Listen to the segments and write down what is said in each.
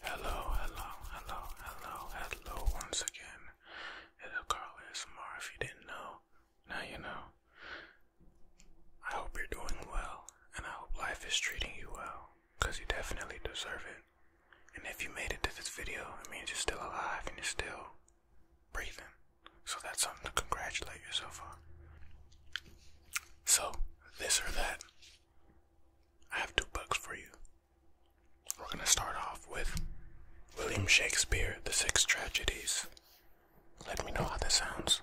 Hello, hello, hello, hello, hello once again. It's Carl ASMR. If you didn't know, now you know. I hope you're doing well, and I hope life is treating you well, because you definitely deserve it. And if you made it to this video, it means you're still alive and you're still breathing. So that's something to congratulate yourself on. So, this or that. I have two books for you. We're going to start off with William Shakespeare, The Six Tragedies. Let me know how this sounds.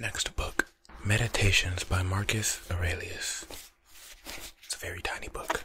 Next book, Meditations by Marcus Aurelius. It's a very tiny book.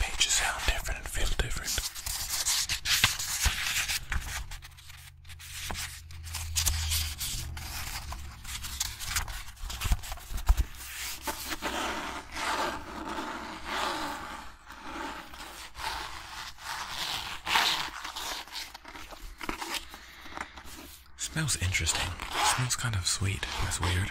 Pages sound different feel different. Smells interesting. Smells kind of sweet. That's weird.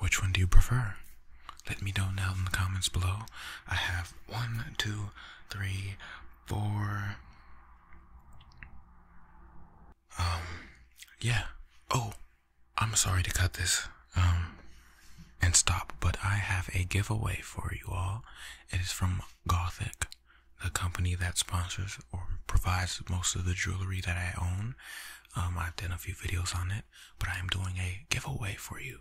Which one do you prefer? Let me know now in the comments below. I have one, two, three, four, um, yeah. Oh, I'm sorry to cut this. Um, and stop, but I have a giveaway for you all. It is from Gothic, the company that sponsors or provides most of the jewelry that I own. Um, I've done a few videos on it, but I am doing a giveaway for you.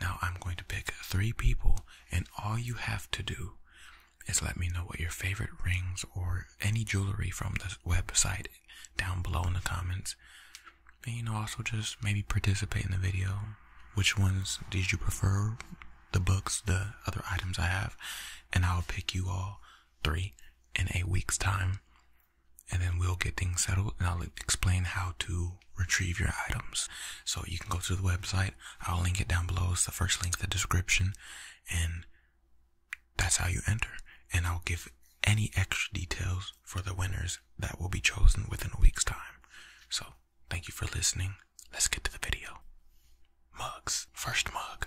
Now I'm going to pick three people, and all you have to do is let me know what your favorite rings or any jewelry from the website down below in the comments. And you know, also just maybe participate in the video. Which ones did you prefer? The books, the other items I have, and I'll pick you all three in a week's time. And then we'll get things settled, and I'll explain how to retrieve your items. So you can go to the website, I'll link it down below. It's the first link in the description, and that's how you enter. And I'll give any extra details for the winners that will be chosen within a week's time. So, thank you for listening. Let's get to the video. Mugs. First mug.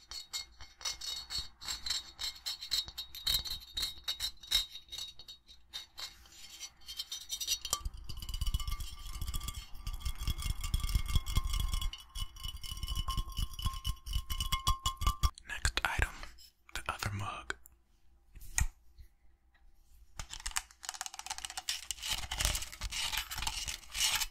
Next item, the other mug.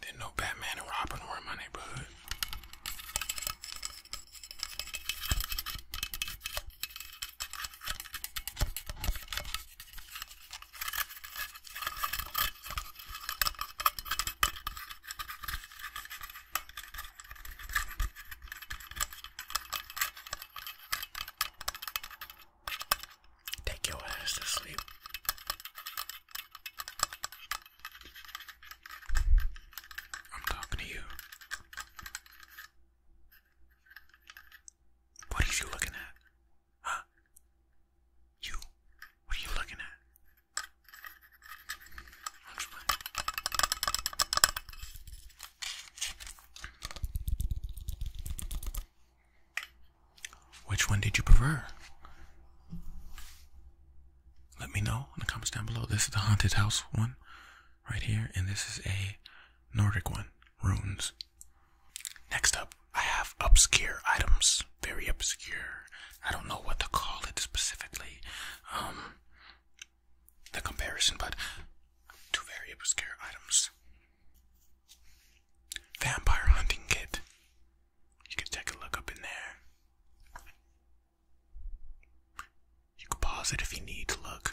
Didn't know Batman and Robin were in my neighborhood. Take your ass to sleep. I'm talking to you. What are you looking at? Huh? You? What are you looking at? Which one did you prefer? Let me know in the comments down below. This is the haunted house one right here, and this is a Nordic one, runes. Next up, I have obscure items very obscure. I don't know what to call it specifically. Um, the comparison, but two very obscure items. Vampire hunting kit. You can take a look up in there. You can pause it if you need to look.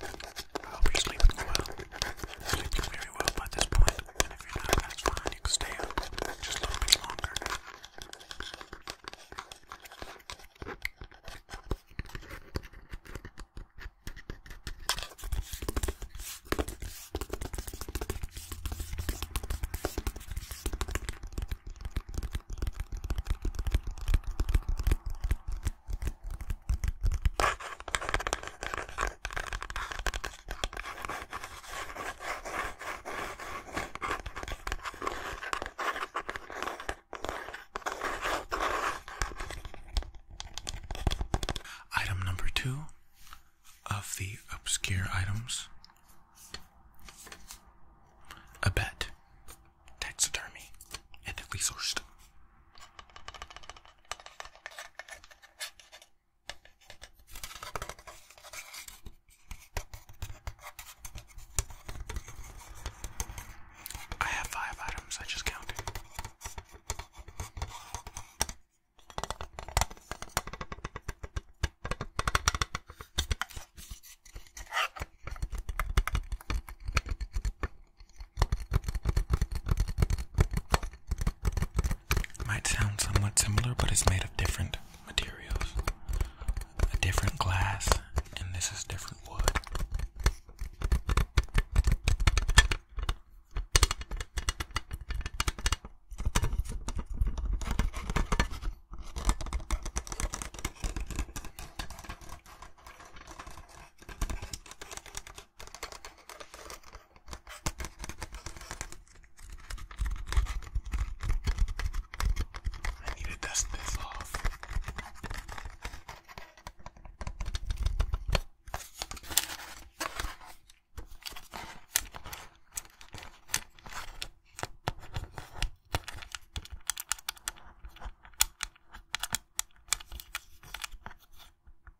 I hope you're sleeping well. You're sleeping very well by this point, and if you're not, that's fine. You can stay up just a little bit longer. Item number two of the obscure items a bet, taxidermy, ethically sourced. I have five items, I just counted. Might sound somewhat similar, but it's made of different materials. A different glass, and this is different wood. I need to dust this off.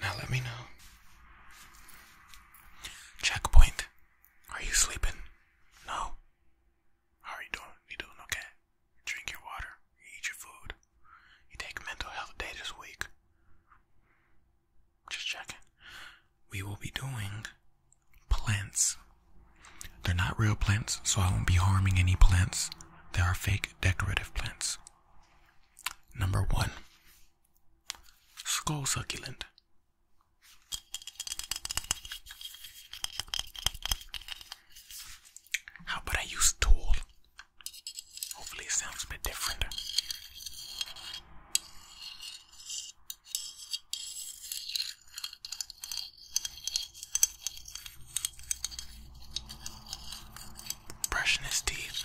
Now let me know. Checkpoint. Are you sleeping? No. How are you doing? You doing okay? drink your water. eat your food. You take mental health day this week. Just checking. We will be doing plants. They're not real plants, so I won't be harming any plants. They are fake decorative plants. Number one Skull Succulent. How about I use tool? Hopefully, it sounds a bit different. Brushing his teeth.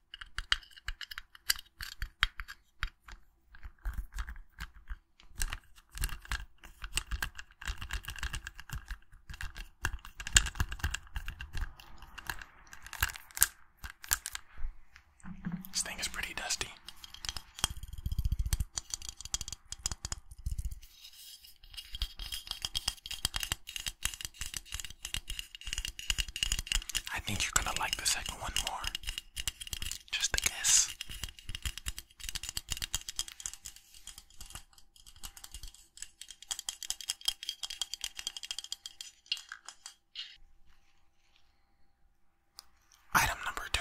This thing is pretty dusty. I think you're gonna like the second one more. Just a guess. Item number two.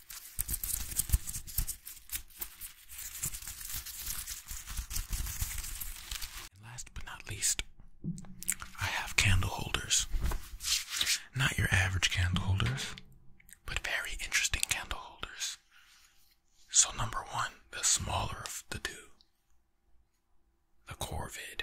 last but not least, I have candle holders. Not your average candle holders, but very interesting candle holders. So, number one, the smaller of the two, the Corvid.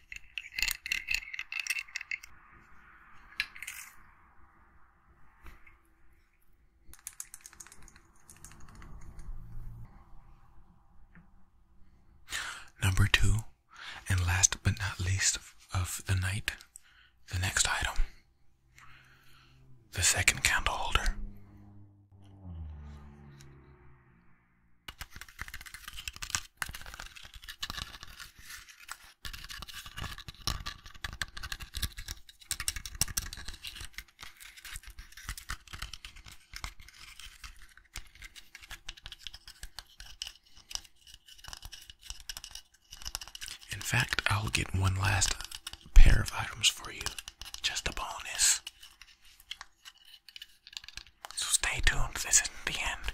Number two, and last but not least of, the night, the next item the second candle holder. In fact, I'll get one last pair of items for you. Just a bonus. So stay tuned, this isn't the end.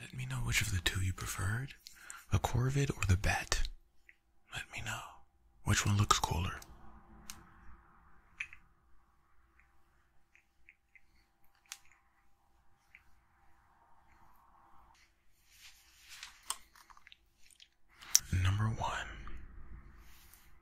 Let me know which of the two you preferred, the corvid or the bat. Let me know which one looks cooler. Number one,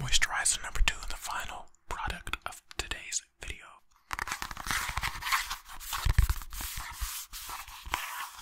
Moisturizer number two, the final product of today's video.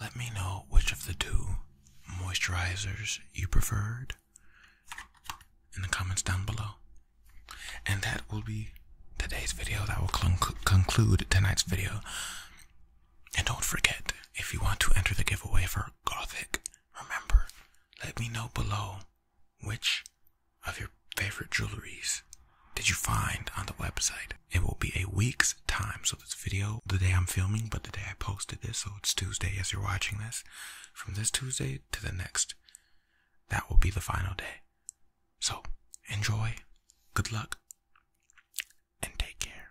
Let me know which of the two moisturizers you preferred in the comments down below. And that will be today's video. That will conclude tonight's video. And don't forget, if you want to enter the giveaway for Gothic, remember, let me know below which of your favorite jewelries did you find on the website. It will be a week's time. So this video, the day I'm filming, but the day I posted this, so it's Tuesday as you're watching this. From this Tuesday to the next, that will be the final day. So, enjoy, good luck, and take care.